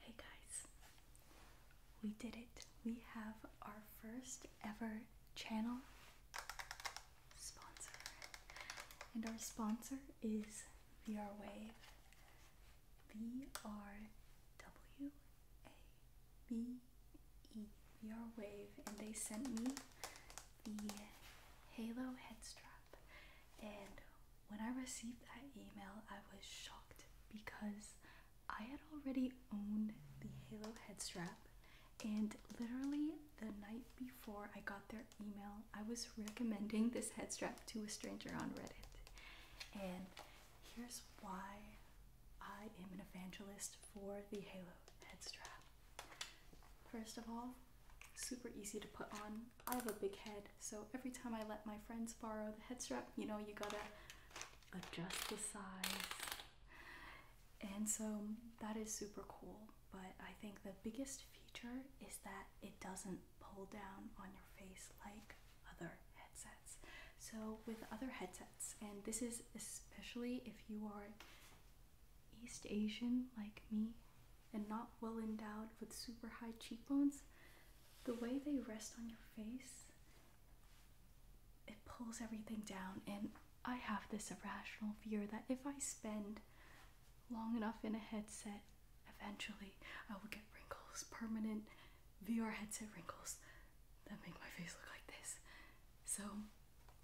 Hey guys, we did it. We have our first ever channel sponsor, and our sponsor is VR VRWave. VR Wave, and they sent me the Halo head strap. And when I received that email, I was shocked because I had already owned the Halo head strap. And literally the night before I got their email, I was recommending this head strap to a stranger on Reddit. And here's why I am an evangelist for the Halo head strap. First of all, super easy to put on. I have a big head, so every time I let my friends borrow the head strap, you know, you gotta adjust the size. And so that is super cool, but I think the biggest feature is that it doesn't pull down on your face like other headsets. So with other headsets, and this is especially if you are East Asian like me, and not well endowed with super high cheekbones, the way they rest on your face, it pulls everything down. And I have this irrational fear that if I spend long enough in a headset, eventually I will get wrinkles, permanent VR headset wrinkles that make my face look like this. So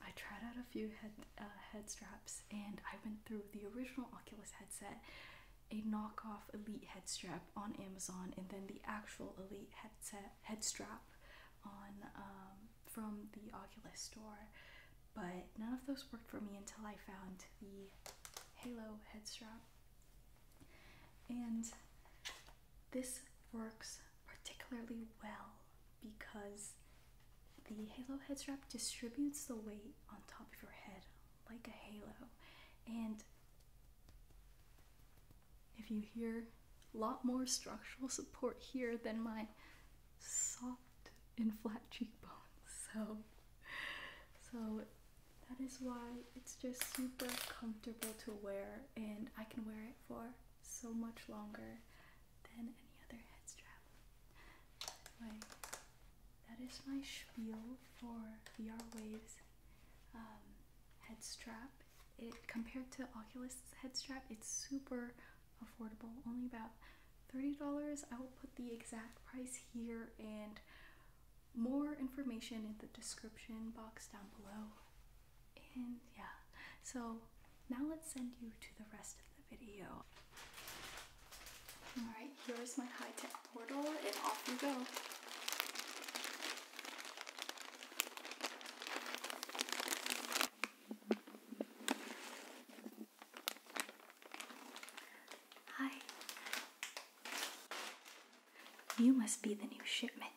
I tried out a few head uh, head straps, and I went through the original Oculus headset, a knockoff Elite head strap on Amazon, and then the actual Elite headset head strap on um, from the Oculus store. But none of those worked for me until I found the Halo head strap, and this works particularly well because the halo head strap distributes the weight on top of your head like a halo. And if you hear a lot more structural support here than my soft and flat cheekbones. So so that is why it's just super comfortable to wear and I can wear it for so much longer than any other head strap. that is my spiel for VR Wave's um, head strap. It compared to Oculus head strap, it's super affordable, only about $30. I will put the exact price here and more information in the description box down below. And yeah, so now let's send you to the rest of the video. Alright, here's my high-tech portal and off you go. Hi. You must be the new shipment.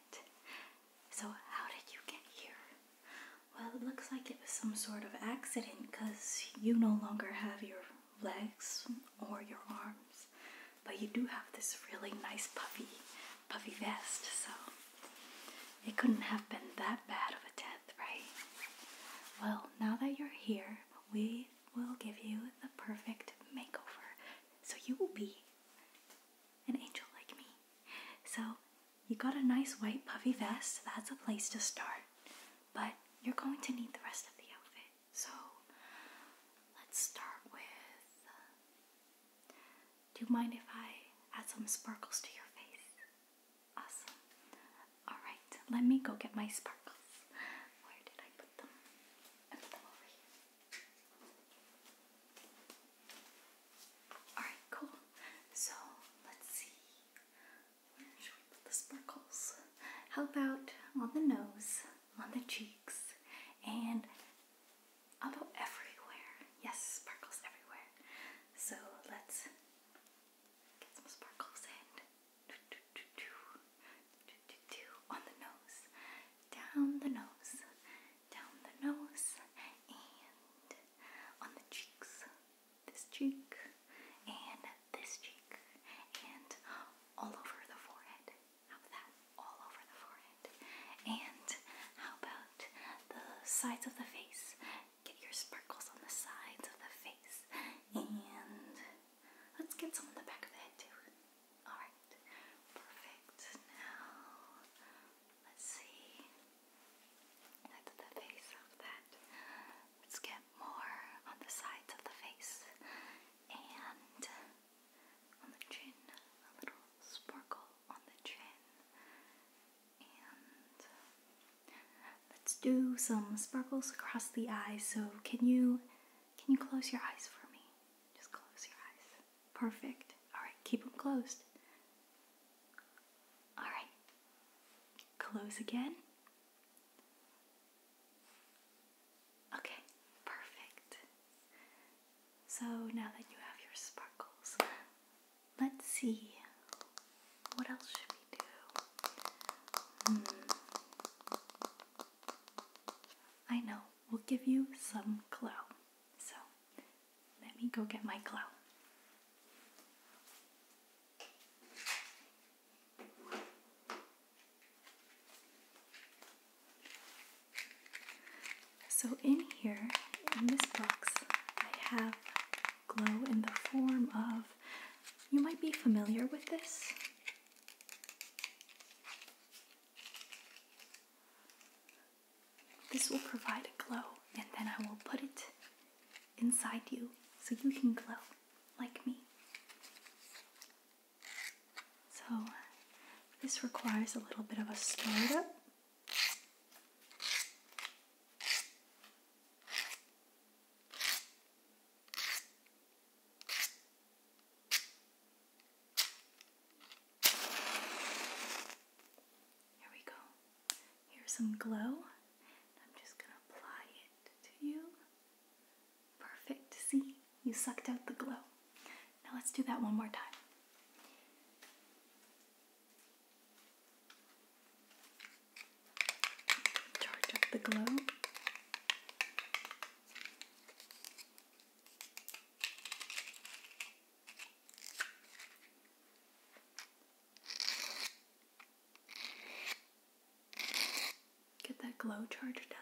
So, how did you get here? Well, it looks like it was some sort of accident because you no longer have your legs or your arms, but you do have this really nice puffy, puffy vest, so it couldn't have been that bad of a death, right? Well, now that you're here, we will give you the perfect makeover, so you will be an angel like me. So you got a nice white puffy vest, that's a place to start. But you're going to need the rest of the outfit. So let's start with. do you mind if I add some sparkles to your face? Awesome. Alright, let me go get my sparkles. Where did I put them? put them over here. Alright, cool. So let's see. Where should the sparkles? How about on the nose, on the cheeks, and about everywhere? Yes, sparkles everywhere. So let's get some sparkles in. On the nose, down the nose, down the nose, and on the cheeks this cheek, and this cheek, and all over the forehead. How about that? All over the forehead. And how about the sides of the face? Get your sparkles on the sides of the face. And let's get some on the back of the head too. Alright, perfect. Now Let's see. That's the face of that. Let's get more on the sides of the face and on the chin. A little sparkle on the chin. And let's do some sparkles across the eyes. So can you can you close your eyes for me? Just close your eyes. Perfect. All right, keep them closed. All right. Close again. Okay, perfect. So now that you have your sparkles, let's see. What else should we do? Hmm. I know, we'll give you some glow. So let me go get my glow. So in here, in this box, I have glow in the form of, you might be familiar with this. This will provide a glow, and then I will put it inside you so you can glow like me. So, this requires a little bit of a stir up. Here we go. Here's some glow. I'm just going to apply it to you. Perfect. See? You sucked out the glow. Now let's do that one more time. Charge up the glow. Get that glow charger done.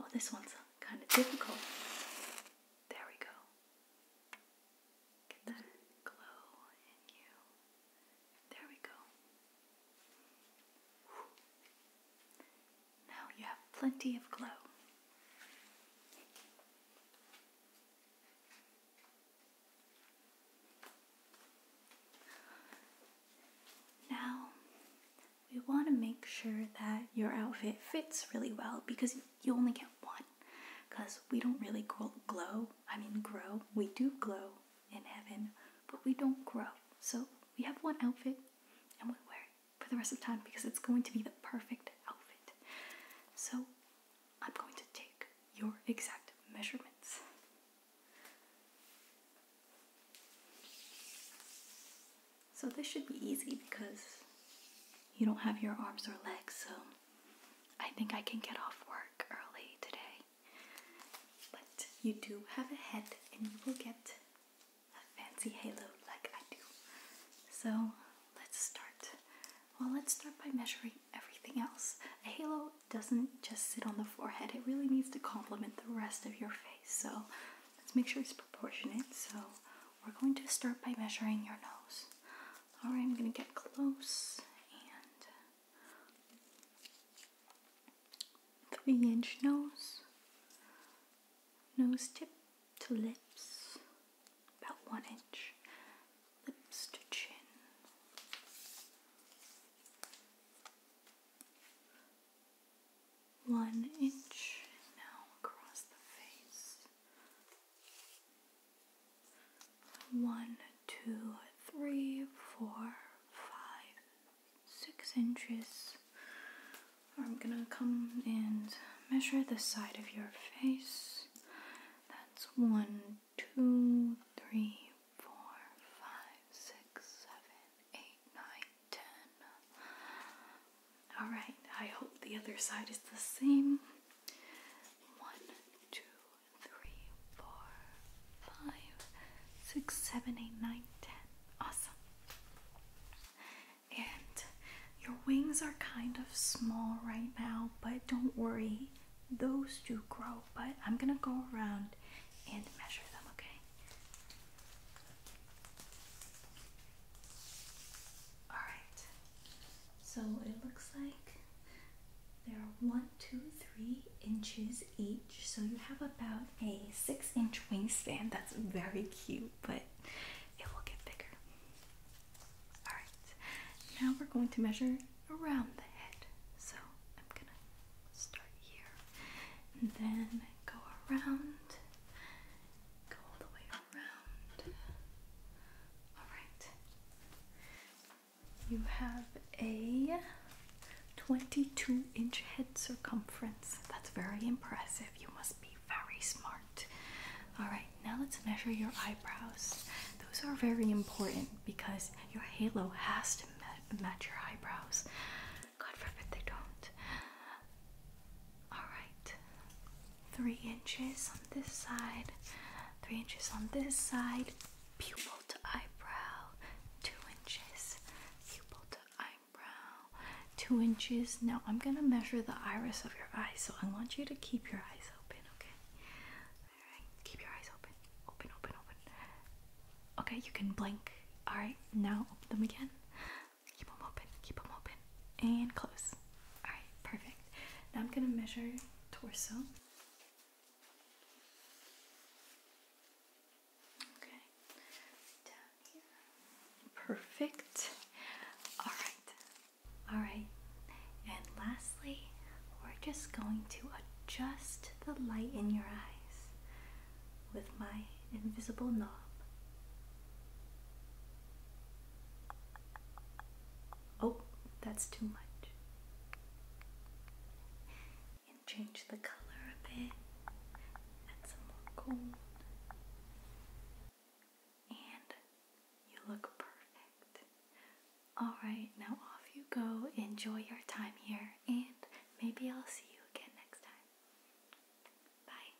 Oh, this one's kind of difficult. There we go. Get that glow in you. There we go. Now you have plenty of glow. Now, we want to make sure that your outfit fits really well because you only get one because we don't really glow. I mean, grow. We do glow in heaven, but we don't grow. So we have one outfit and we wear it for the rest of time because it's going to be the perfect outfit. So I'm going to take your exact measurements. So this should be easy because you don't have your arms or legs, so I think I can get off work early today. But you do have a head, and you will get a fancy halo like I do. So let's start. Well, let's start by measuring everything else. A halo doesn't just sit on the forehead, it really needs to complement the rest of your face. So let's make sure it's proportionate. So we're going to start by measuring your nose. All right, I'm going to get close and uh, three inch nose, nose tip to lips, about one inch, lips to chin. One inch now across the face one, two, three, four, five, six inches. I'm gonna come and measure the side of your face. That's one, two, three, four, five, six, seven, eight, nine, ten, Alright, I hope the other side is the same. One, two, three, four, five, six, seven, eight, nine, ten. Awesome. And your wings are kind of small right now, but don't worry, those do grow. But I'm gonna go around and measure them, okay? Alright, so it looks like they're one, two, three inches each. So you have about a six inch wingspan. That's very cute, but it will get bigger. Alright, now we're going to measure around the head. So I'm gonna start here and then go around, go all the way around. Alright. You have a 22 inch head circumference. That's very impressive. You must be very smart. Alright, now let's measure your eyebrows. Those are very important because your halo has to match your eyebrows. God forbid they don't. Alright, three inches on this side, three inches on this side, pupil to eyebrow, two inches, pupil to eyebrow, two inches. Now I'm gonna measure the iris of your eye, so I want you to keep your eyes open, okay? Alright, keep your eyes open, open, open, open. Okay, you can blink. Alright, now open them again. Keep them open, keep them open, and close. Alright, perfect. Now I'm gonna measure torso. Okay, down here. Perfect. Alright, alright. And lastly, we're just going to adjust the light in your eyes with my invisible knob. Oh, that's too much. And change the color a bit. Add some more gold. And you look perfect. Alright, now off you go. Enjoy your time here, and maybe I'll see you again next time. Bye.